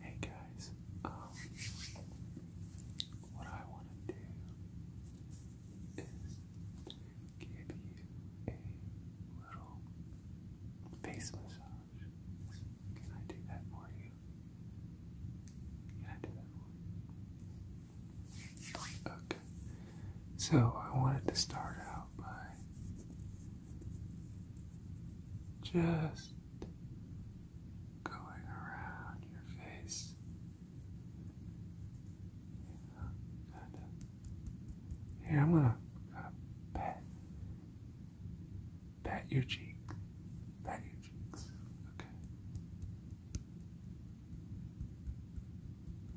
Hey guys, um, what I want to do is give you a little face massage. Can I do that for you? Can I do that for you? Okay, so I wanted to start out by just going around your face kind here I'm gonna pat pat your cheek pat your cheeks okay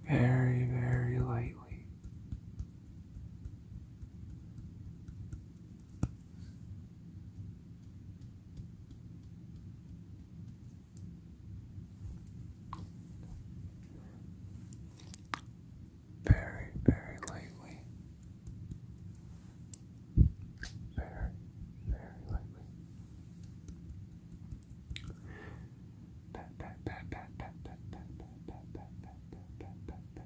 very very lightly very, very lightly. Very, very lightly. Pat, pat, pat, pat, pat, pat, pat, pat, pat, pat, pat, pat, pat, pat, pat,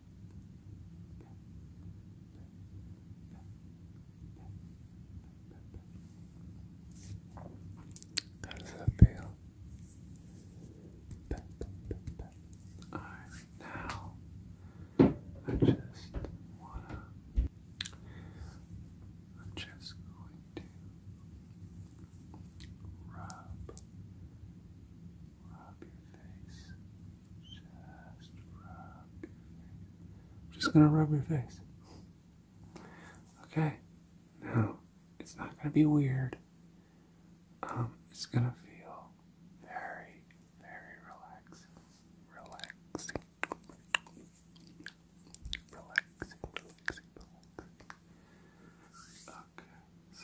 How does that feel? Alright, now I just wanna I'm just going to rub rub your face. Just I'm just gonna rub your face. Okay. Now, it's not gonna be weird. Um, it's gonna feel very, very relaxing. Relaxing. Relaxing, relaxing, Okay, so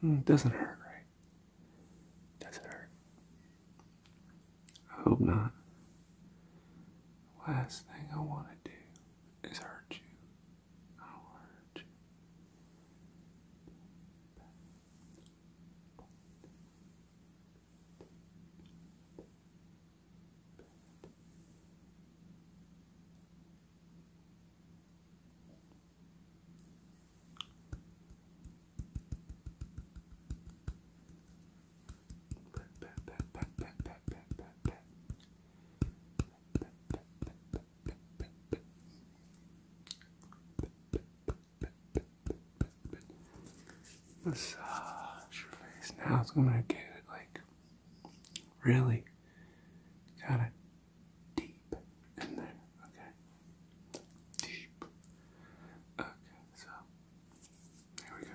Hmm, it doesn't hurt, right? It doesn't hurt. I hope not. Last thing I want to do is hurt you. I do hurt you. Massage your face now. It's gonna get like Really got it deep in there. Okay. Deep. Okay, so here we go.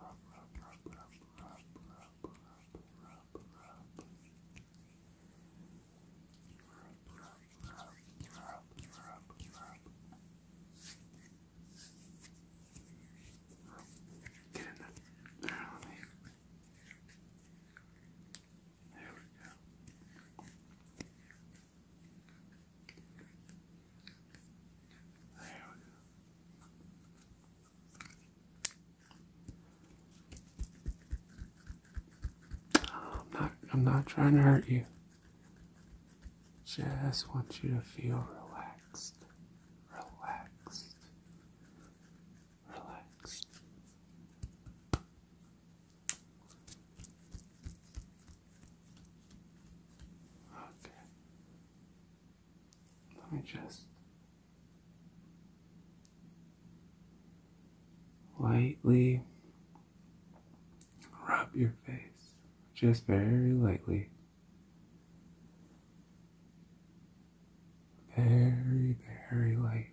Rub, rub, rub, rub, rub, rub, rub, rub. Rub, rub, rub, rub, rub, rub. Get in there. There, let me. There we go. I'm not I'm not trying to hurt you. Just want you to feel relaxed. Relaxed. Relaxed. Okay. Let me just lightly rub your face, just very lightly. Very, very lightly.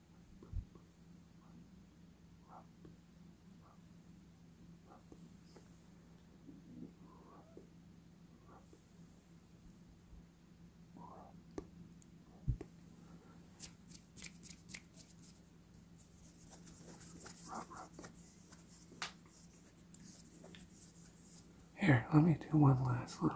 here, let me do one last little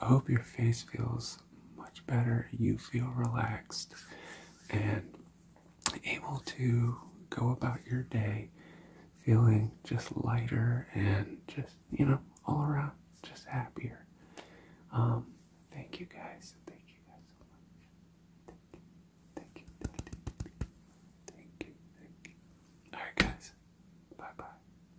I hope your face feels much better. You feel relaxed and able to go about your day feeling just lighter and just, you know, all around just happier. Um, thank you guys. Thank you guys so much. Thank you. Thank you. Thank you. Thank you. All right, guys. Bye bye.